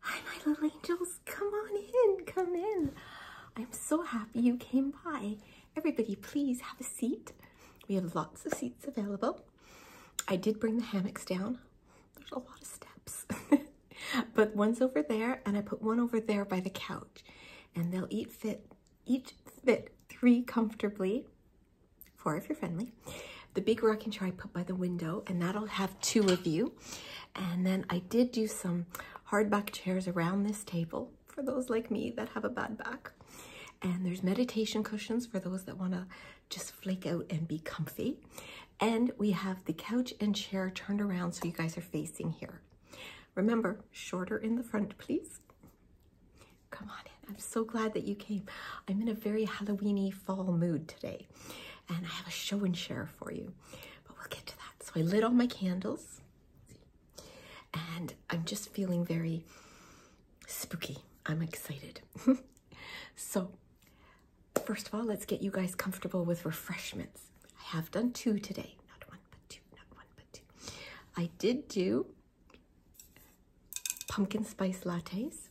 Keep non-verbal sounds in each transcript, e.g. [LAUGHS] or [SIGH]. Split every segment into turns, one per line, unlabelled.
Hi, my little angels. Come on in. Come in. I'm so happy you came by. Everybody, please have a seat. We have lots of seats available. I did bring the hammocks down. There's a lot of steps. [LAUGHS] but one's over there, and I put one over there by the couch. And they'll eat fit, each fit three comfortably, four if you're friendly the big rocking chair I put by the window, and that'll have two of you. And then I did do some hardback chairs around this table for those like me that have a bad back. And there's meditation cushions for those that want to just flake out and be comfy. And we have the couch and chair turned around so you guys are facing here. Remember, shorter in the front, please. Come on in. I'm so glad that you came. I'm in a very Halloweeny fall mood today. And I have a show and share for you, but we'll get to that. So I lit all my candles and I'm just feeling very spooky. I'm excited. [LAUGHS] so first of all, let's get you guys comfortable with refreshments. I have done two today. Not one, but two, not one, but two. I did do pumpkin spice lattes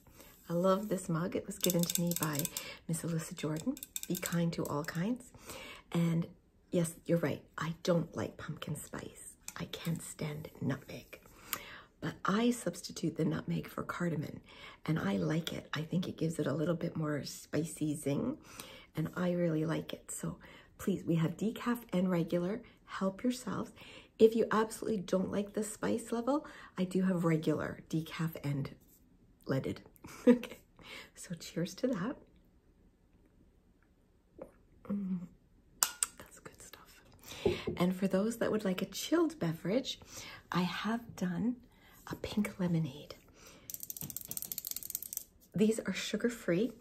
I love this mug. It was given to me by Miss Alyssa Jordan. Be kind to all kinds. And yes, you're right. I don't like pumpkin spice. I can't stand nutmeg. But I substitute the nutmeg for cardamom and I like it. I think it gives it a little bit more spicy zing and I really like it. So please, we have decaf and regular. Help yourselves. If you absolutely don't like the spice level, I do have regular decaf and leaded. [LAUGHS] okay, so cheers to that. Mm. that's good stuff. And for those that would like a chilled beverage, I have done a pink lemonade. These are sugar-free.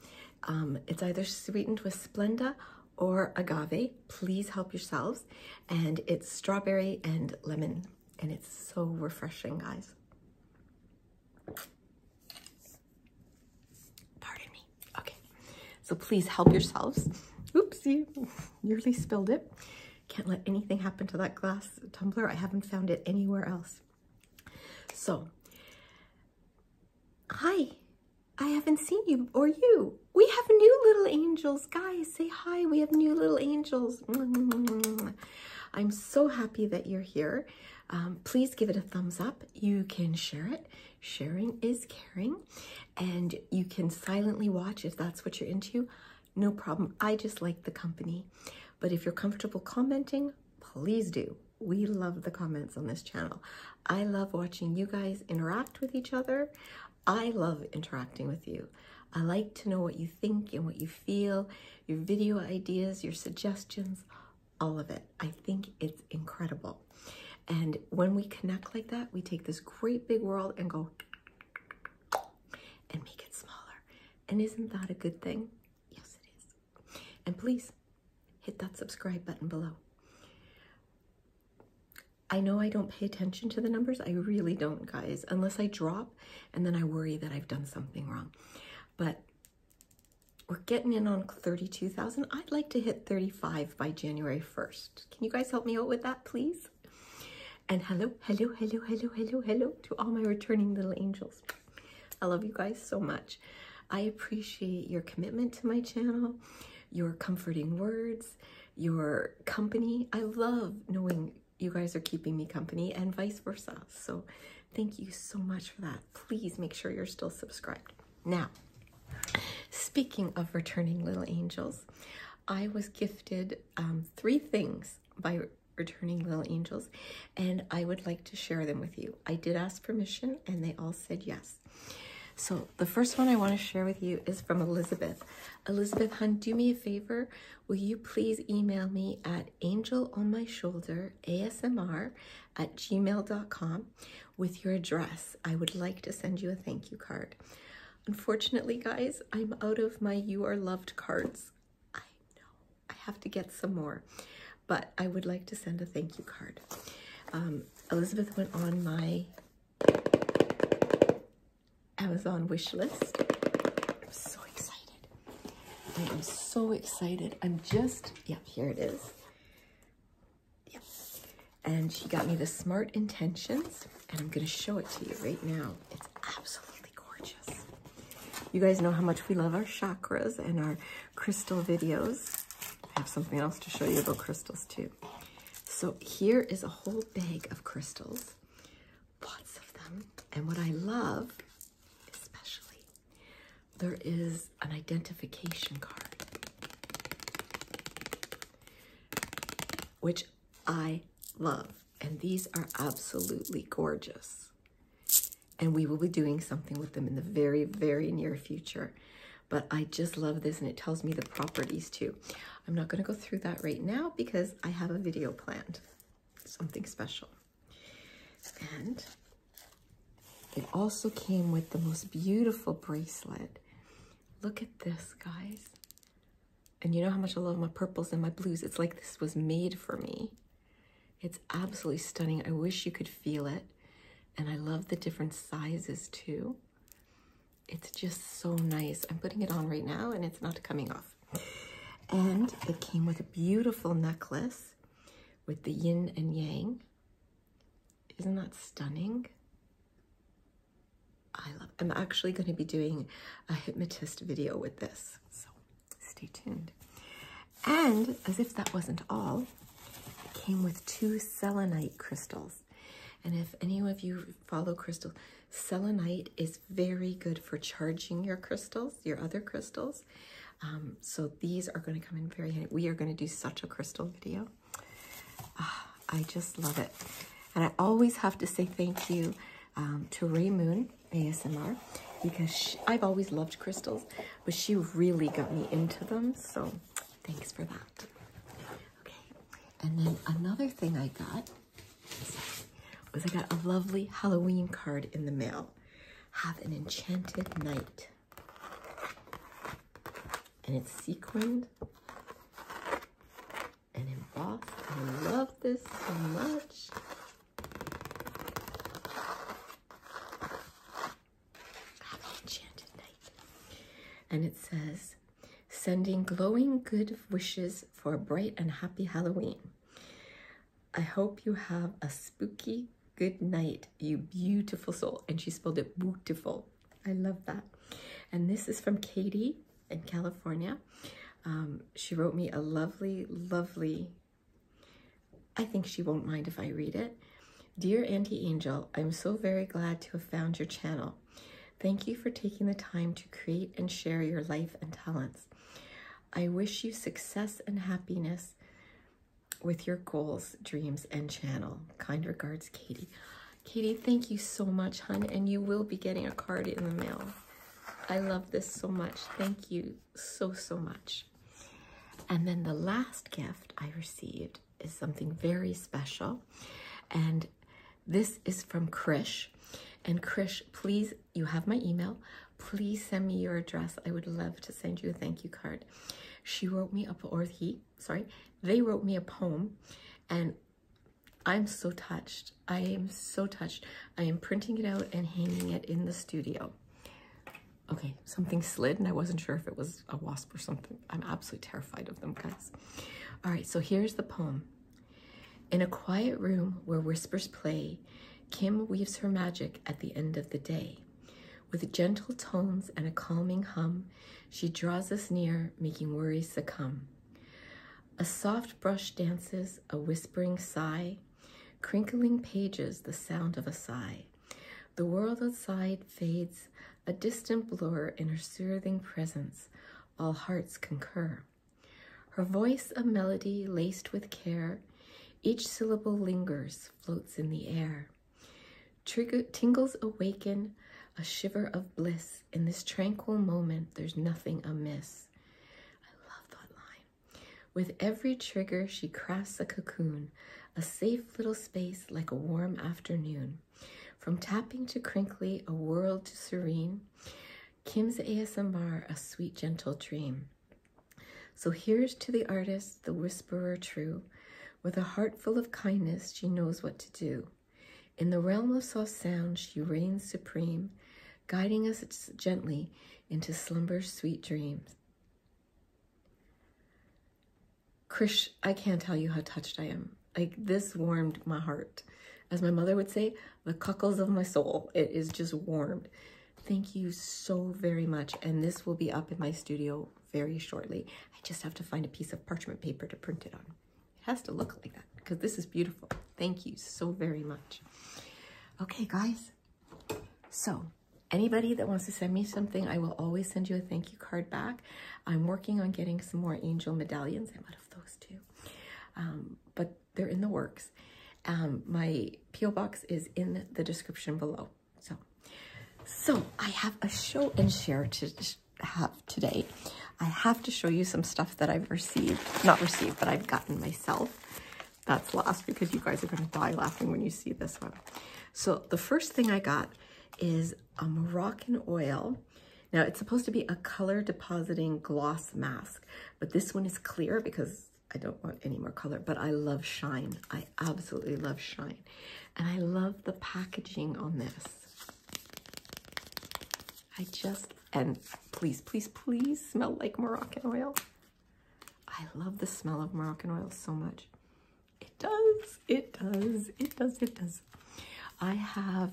Um, it's either sweetened with Splenda or agave. Please help yourselves. And it's strawberry and lemon. And it's so refreshing, guys. Pardon me. Okay. So please help yourselves. Oopsie, [LAUGHS] nearly spilled it. Can't let anything happen to that glass tumbler. I haven't found it anywhere else. So, hi, I haven't seen you or you. We have new little angels. Guys, say hi. We have new little angels. I'm so happy that you're here. Um, please give it a thumbs up. You can share it. Sharing is caring. And you can silently watch if that's what you're into. No problem. I just like the company. But if you're comfortable commenting, please do. We love the comments on this channel. I love watching you guys interact with each other. I love interacting with you. I like to know what you think and what you feel, your video ideas, your suggestions, all of it. I think it's incredible. And when we connect like that, we take this great big world and go and make it smaller. And isn't that a good thing? Yes, it is. And please hit that subscribe button below. I know I don't pay attention to the numbers. I really don't, guys, unless I drop and then I worry that I've done something wrong. But we're getting in on 32,000. I'd like to hit 35 by January 1st. Can you guys help me out with that, please? And hello, hello, hello, hello, hello, hello to all my returning little angels. I love you guys so much. I appreciate your commitment to my channel, your comforting words, your company. I love knowing you guys are keeping me company and vice versa. So thank you so much for that. Please make sure you're still subscribed. Now, speaking of returning little angels, I was gifted um, three things by returning little angels and I would like to share them with you. I did ask permission and they all said yes. So the first one I want to share with you is from Elizabeth. Elizabeth Hun, do me a favor. Will you please email me at angel on my shoulder ASMR at gmail.com with your address? I would like to send you a thank you card. Unfortunately, guys, I'm out of my You Are Loved cards. I know, I have to get some more, but I would like to send a thank you card. Um, Elizabeth went on my Amazon wish list. I'm so excited. I am so excited. I'm just, yep, here it is. Yep. And she got me the Smart Intentions, and I'm going to show it to you right now. It's absolutely gorgeous. You guys know how much we love our chakras and our crystal videos. I have something else to show you about crystals, too. So here is a whole bag of crystals, lots of them. And what I love, especially, there is an identification card, which I love. And these are absolutely gorgeous. And we will be doing something with them in the very, very near future but I just love this and it tells me the properties too. I'm not gonna go through that right now because I have a video planned, something special. And it also came with the most beautiful bracelet. Look at this, guys. And you know how much I love my purples and my blues. It's like this was made for me. It's absolutely stunning. I wish you could feel it. And I love the different sizes too. It's just so nice. I'm putting it on right now and it's not coming off. And it came with a beautiful necklace with the yin and yang. Isn't that stunning? I love, I'm actually going to be doing a hypnotist video with this. So stay tuned. And as if that wasn't all, it came with two selenite crystals. And if any of you follow crystals, selenite is very good for charging your crystals, your other crystals. Um, so these are going to come in very handy. We are going to do such a crystal video. Ah, I just love it. And I always have to say thank you um, to Ray Moon ASMR because I've always loved crystals, but she really got me into them. So Thanks for that. Okay, and then another thing I got was I got a lovely Halloween card in the mail. Have an enchanted night. And it's sequined and embossed. I love this so much have an enchanted night. And it says, sending glowing good wishes for a bright and happy Halloween. I hope you have a spooky good night, you beautiful soul. And she spelled it beautiful. I love that. And this is from Katie in California. Um, she wrote me a lovely, lovely, I think she won't mind if I read it. Dear Auntie Angel, I'm so very glad to have found your channel. Thank you for taking the time to create and share your life and talents. I wish you success and happiness with your goals, dreams, and channel. Kind regards, Katie. Katie, thank you so much, hun, and you will be getting a card in the mail. I love this so much. Thank you so, so much. And then the last gift I received is something very special. And this is from Krish. And Krish, please, you have my email. Please send me your address. I would love to send you a thank you card. She wrote me up, or he, sorry, they wrote me a poem. And I'm so touched. I am so touched. I am printing it out and hanging it in the studio. Okay, something slid and I wasn't sure if it was a wasp or something. I'm absolutely terrified of them, guys. All right, so here's the poem. In a quiet room where whispers play, Kim weaves her magic at the end of the day. With gentle tones and a calming hum, she draws us near, making worries succumb. A soft brush dances, a whispering sigh, crinkling pages, the sound of a sigh. The world outside fades, a distant blur in her soothing presence. All hearts concur. Her voice a melody laced with care, each syllable lingers, floats in the air. Trig tingles awaken, a shiver of bliss. In this tranquil moment, there's nothing amiss. I love that line. With every trigger, she crafts a cocoon, a safe little space like a warm afternoon. From tapping to crinkly, a world to serene, Kim's ASMR, a sweet, gentle dream. So here's to the artist, the whisperer true. With a heart full of kindness, she knows what to do. In the realm of soft sound, she reigns supreme, guiding us gently into slumber's sweet dreams. Krish, I can't tell you how touched I am. Like this warmed my heart. As my mother would say, the cockles of my soul. It is just warmed. Thank you so very much. And this will be up in my studio very shortly. I just have to find a piece of parchment paper to print it on. It has to look like that because this is beautiful. Thank you so very much. Okay, guys, so anybody that wants to send me something, I will always send you a thank you card back. I'm working on getting some more angel medallions. I'm out of those too, um, but they're in the works. Um, my P.O. box is in the description below. So, so I have a show and share to have today. I have to show you some stuff that I've received, not received, but I've gotten myself. That's last because you guys are going to die laughing when you see this one. So the first thing I got is a Moroccan oil. Now it's supposed to be a color depositing gloss mask, but this one is clear because I don't want any more color, but I love shine. I absolutely love shine. And I love the packaging on this. I just, and please, please, please smell like Moroccan oil. I love the smell of Moroccan oil so much. It does, it does, it does, it does. I have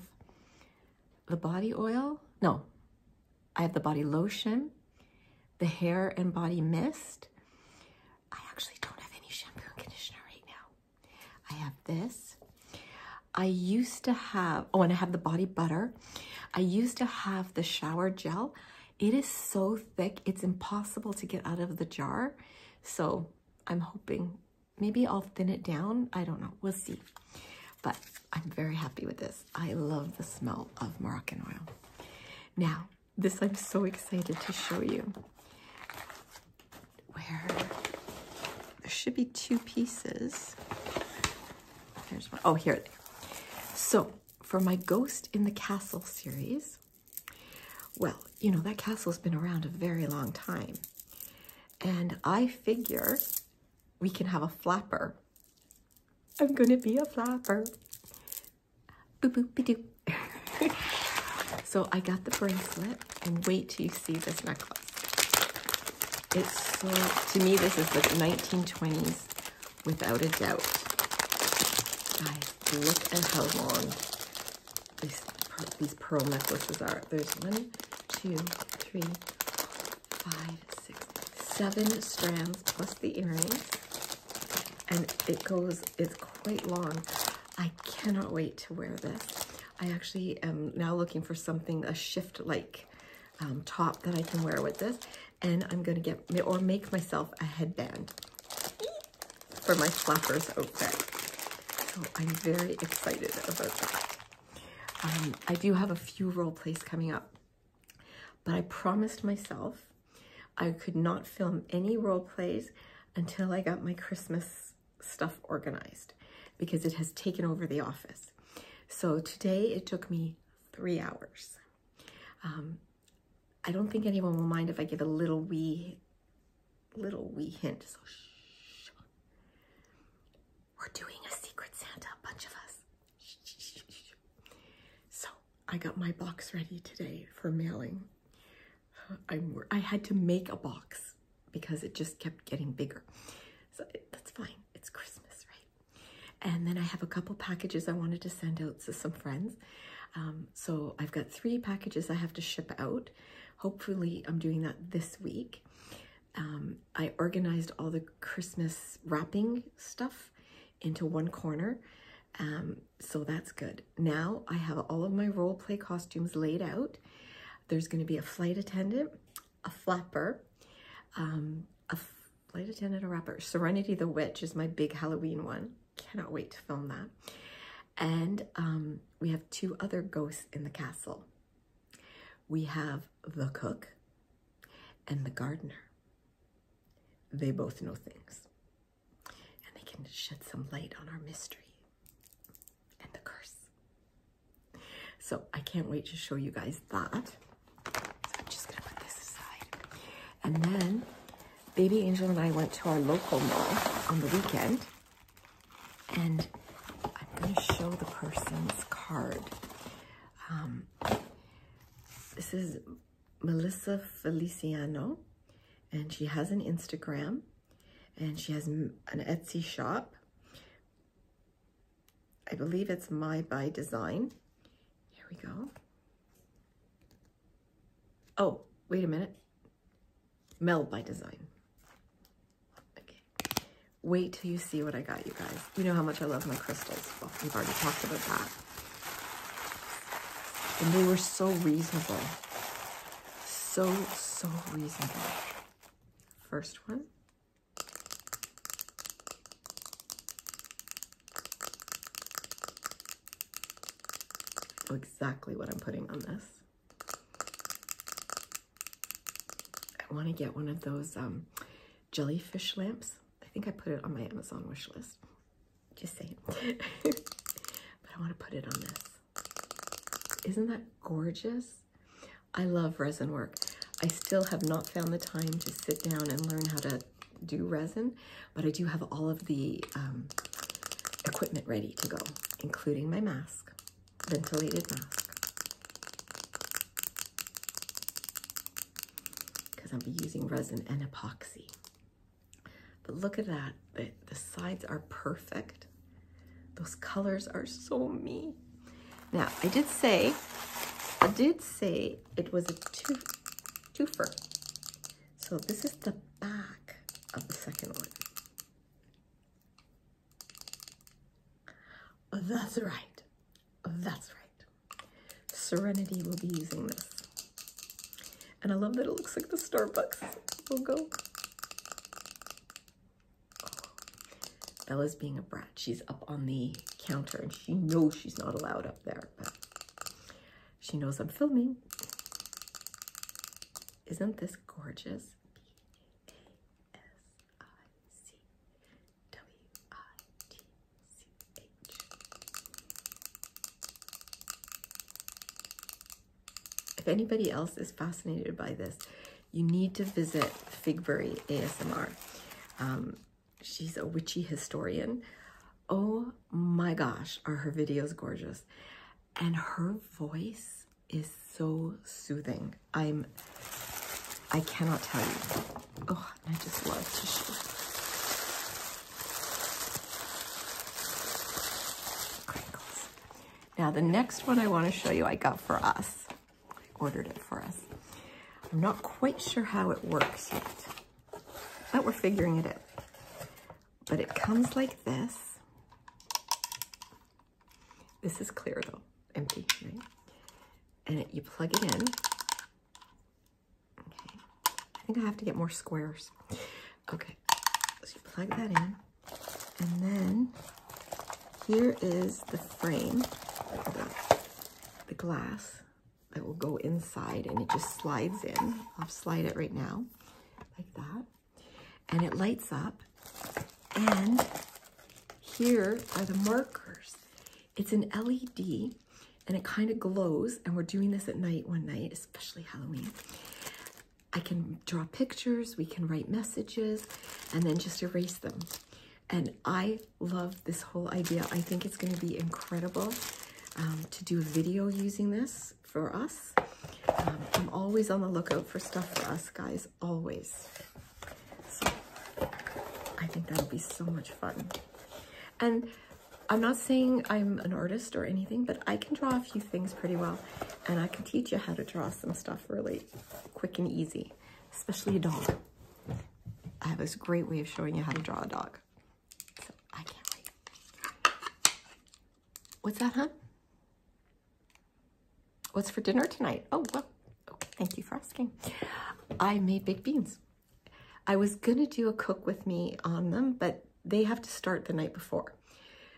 the body oil, no, I have the body lotion, the hair and body mist. I actually don't have any shampoo and conditioner right now. I have this. I used to have, oh, and I have the body butter. I used to have the shower gel. It is so thick, it's impossible to get out of the jar. So I'm hoping maybe I'll thin it down. I don't know, we'll see. But I'm very happy with this. I love the smell of Moroccan oil. Now, this I'm so excited to show you. Where there should be two pieces. There's one. Oh, here. So for my Ghost in the Castle series, well, you know, that castle's been around a very long time. And I figure we can have a flapper. I'm gonna be a flapper. Boop boop be doo. [LAUGHS] so I got the bracelet and wait till you see this necklace. It's to me, this is the 1920s without a doubt. Guys, look at how long these, pearl necklaces are. There's one, two, three, five, six, seven strands plus the earrings. And it goes, it's quite long. I cannot wait to wear this. I actually am now looking for something, a shift-like um, top that I can wear with this and I'm gonna get, or make myself a headband for my flappers outfit. So I'm very excited about that. Um, I do have a few role plays coming up, but I promised myself I could not film any role plays until I got my Christmas stuff organized because it has taken over the office. So today it took me three hours. Um, I don't think anyone will mind if I give a little wee, little wee hint. So shh. We're doing a secret Santa, a bunch of us. Shh, shh, shh, so I got my box ready today for mailing. i I had to make a box because it just kept getting bigger. So that's fine. It's Christmas, right? And then I have a couple packages I wanted to send out to some friends. Um, so I've got three packages I have to ship out. Hopefully I'm doing that this week. Um, I organized all the Christmas wrapping stuff into one corner. Um, so that's good. Now I have all of my role play costumes laid out. There's going to be a flight attendant, a flapper, a Flight Attendant a Rapper. Serenity the Witch is my big Halloween one. Cannot wait to film that. And um, we have two other ghosts in the castle. We have the cook and the gardener. They both know things. And they can shed some light on our mystery and the curse. So I can't wait to show you guys that. So I'm just gonna put this aside. And then Baby Angel and I went to our local mall on the weekend. And I'm gonna show the person's card. Um, this is Melissa Feliciano, and she has an Instagram, and she has an Etsy shop. I believe it's My By Design, here we go. Oh, wait a minute. Mel by design. Okay. Wait till you see what I got, you guys. You know how much I love my crystals. Well, we've already talked about that. And they were so reasonable. So, so reasonable. First one. Oh, exactly what I'm putting on this. I want to get one of those um, jellyfish lamps. I think I put it on my Amazon wish list. Just saying. [LAUGHS] but I want to put it on this. Isn't that gorgeous? I love resin work. I still have not found the time to sit down and learn how to do resin, but I do have all of the um, equipment ready to go, including my mask, ventilated mask. Because i am using resin and epoxy. But look at that, the sides are perfect. Those colors are so me. Now, I did say, I did say it was a two, twofer. So this is the back of the second one. Oh, that's right. Oh, that's right. Serenity will be using this. And I love that it looks like the Starbucks logo. Oh. Bella's being a brat. She's up on the counter and she knows she's not allowed up there, but she knows I'm filming. Isn't this gorgeous? If anybody else is fascinated by this, you need to visit Figbury ASMR. Um, she's a witchy historian. Oh my gosh, are her videos gorgeous. And her voice is so soothing. I'm, I cannot tell you. Oh, I just love tissue. Crinkles. Now the next one I wanna show you I got for us ordered it for us. I'm not quite sure how it works yet, but we're figuring it out. But it comes like this. This is clear though, empty, And you plug it in. Okay. I think I have to get more squares. Okay, so you plug that in. And then here is the frame the glass that will go inside and it just slides in. I'll slide it right now like that. And it lights up. And here are the markers. It's an LED and it kind of glows. And we're doing this at night one night, especially Halloween. I can draw pictures, we can write messages, and then just erase them. And I love this whole idea. I think it's going to be incredible um, to do a video using this for us. Um, I'm always on the lookout for stuff for us guys, always. So I think that'll be so much fun. And I'm not saying I'm an artist or anything, but I can draw a few things pretty well. And I can teach you how to draw some stuff really quick and easy, especially a dog. I have this great way of showing you how to draw a dog. I can't wait. What's that, huh? What's for dinner tonight? Oh, well, okay, thank you for asking. I made baked beans. I was gonna do a cook with me on them, but they have to start the night before.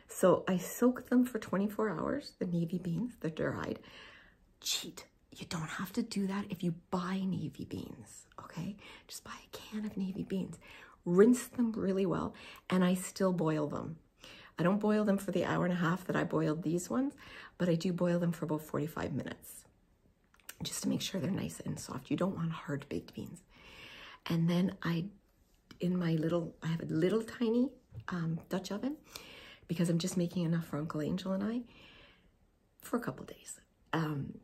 So I soak them for 24 hours, the navy beans, they're dried. Cheat, you don't have to do that if you buy navy beans, okay? Just buy a can of navy beans. Rinse them really well, and I still boil them. I don't boil them for the hour and a half that I boiled these ones, but I do boil them for about 45 minutes just to make sure they're nice and soft. You don't want hard baked beans. And then I, in my little, I have a little tiny um, Dutch oven, because I'm just making enough for Uncle Angel and I for a couple days. Um,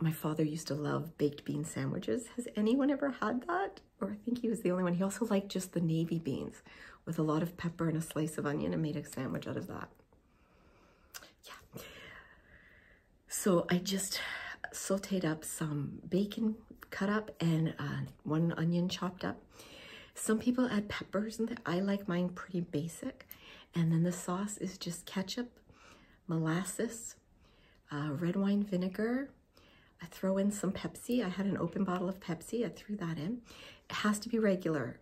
my father used to love baked bean sandwiches. Has anyone ever had that? Or I think he was the only one. He also liked just the navy beans with a lot of pepper and a slice of onion and made a sandwich out of that. Yeah. So I just sauteed up some bacon cut up and uh, one onion chopped up some people add peppers in there. I like mine pretty basic. And then the sauce is just ketchup, molasses, uh, red wine vinegar. I throw in some Pepsi. I had an open bottle of Pepsi. I threw that in. It has to be regular.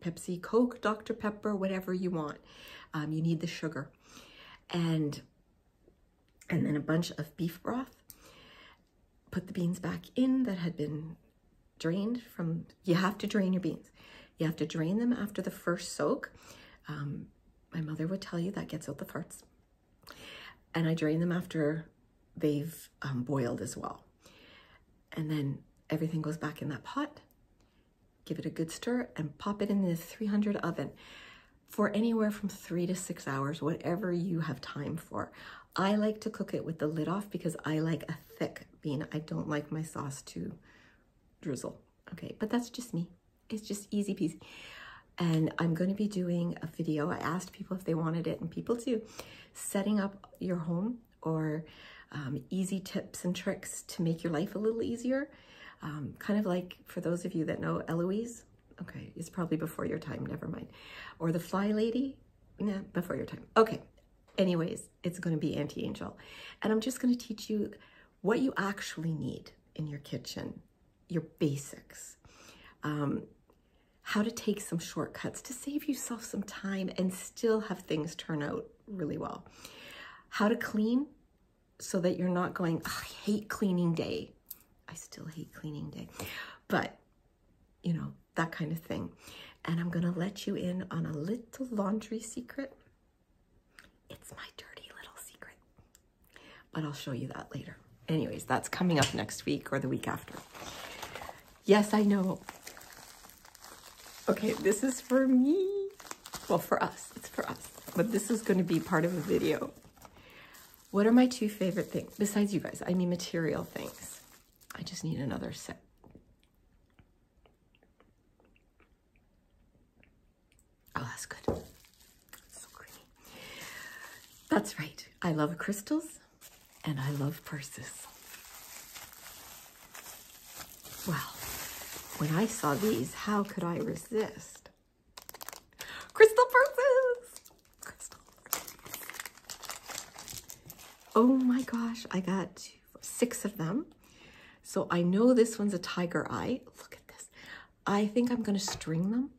Pepsi, Coke, Dr. Pepper, whatever you want. Um, you need the sugar. And, and then a bunch of beef broth. Put the beans back in that had been drained from, you have to drain your beans. You have to drain them after the first soak. Um, my mother would tell you that gets out the farts. And I drain them after they've um, boiled as well. And then everything goes back in that pot. Give it a good stir and pop it in the 300 oven for anywhere from three to six hours, whatever you have time for. I like to cook it with the lid off because I like a thick bean. I don't like my sauce to drizzle. Okay, but that's just me. It's just easy peasy. And I'm going to be doing a video. I asked people if they wanted it and people do. Setting up your home or um, easy tips and tricks to make your life a little easier. Um, kind of like for those of you that know Eloise, okay, it's probably before your time, never mind. Or the Fly Lady, yeah, before your time. Okay. Anyways, it's going to be anti-angel. And I'm just going to teach you what you actually need in your kitchen, your basics, um, how to take some shortcuts to save yourself some time and still have things turn out really well, how to clean so that you're not going, I hate cleaning day. I still hate cleaning day. But you know, that kind of thing. And I'm going to let you in on a little laundry secret. It's my dirty little secret, but I'll show you that later. Anyways, that's coming up next week or the week after. Yes, I know. Okay, this is for me. Well, for us, it's for us, but this is going to be part of a video. What are my two favorite things, besides you guys, I mean material things. I just need another set. Oh, that's good. so creamy. That's right. I love crystals and I love purses. Well, when I saw these, how could I resist? Crystal purses! Oh my gosh, I got six of them. So I know this one's a tiger eye. Look at this. I think I'm gonna string them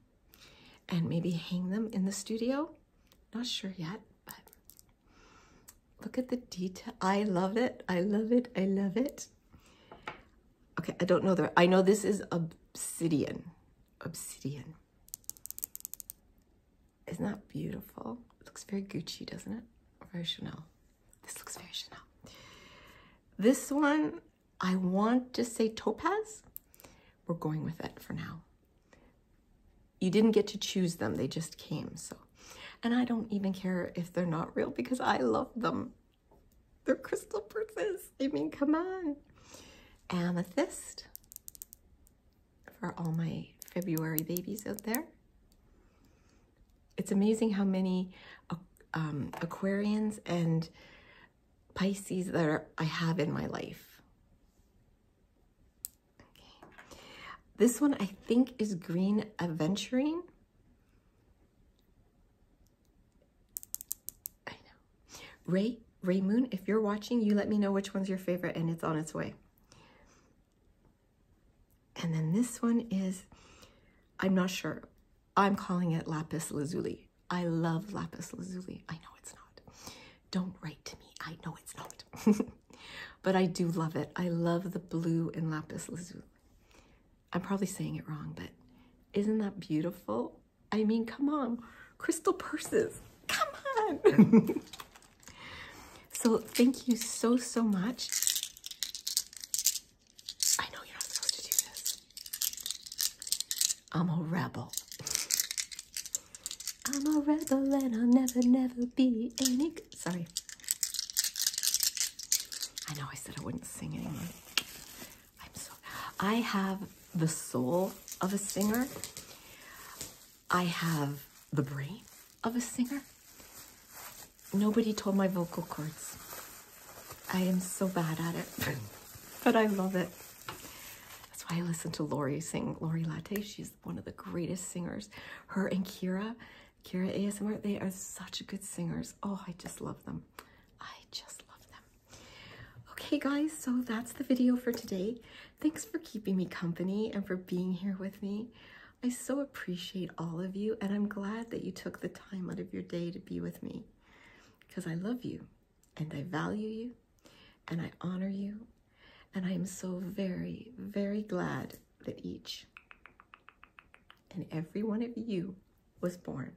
and maybe hang them in the studio. Not sure yet, but look at the detail. I love it. I love it. I love it. Okay, I don't know the, I know this is obsidian, obsidian. Isn't that beautiful? looks very Gucci, doesn't it? very Chanel. This looks very Chanel. This one, I want to say topaz. We're going with it for now. You didn't get to choose them, they just came, so. And I don't even care if they're not real because I love them. They're crystal princess. I mean, come on. Amethyst for all my February babies out there. It's amazing how many uh, um, Aquarians and Pisces that I have in my life. Okay. This one I think is Green Adventuring. I know. Ray, Ray Moon, if you're watching, you let me know which one's your favorite and it's on its way. And then this one is, I'm not sure. I'm calling it lapis lazuli. I love lapis lazuli. I know it's not. Don't write to me. I know it's not. [LAUGHS] but I do love it. I love the blue in lapis lazuli. I'm probably saying it wrong, but isn't that beautiful? I mean, come on, crystal purses, come on. [LAUGHS] so thank you so, so much. I know you're not supposed to do this. I'm a rebel. [LAUGHS] I'm a rebel and I'll never, never be any, sorry. I know I said I wouldn't sing anymore. I'm so, I have the soul of a singer. I have the brain of a singer. Nobody told my vocal cords. I am so bad at it, [LAUGHS] but I love it. That's why I listen to Lori sing Lori Latte. She's one of the greatest singers. Her and Kira, Kira ASMR, they are such good singers. Oh, I just love them. I just love them. Okay guys, so that's the video for today. Thanks for keeping me company and for being here with me. I so appreciate all of you and I'm glad that you took the time out of your day to be with me because I love you and I value you and I honor you and I am so very, very glad that each and every one of you was born.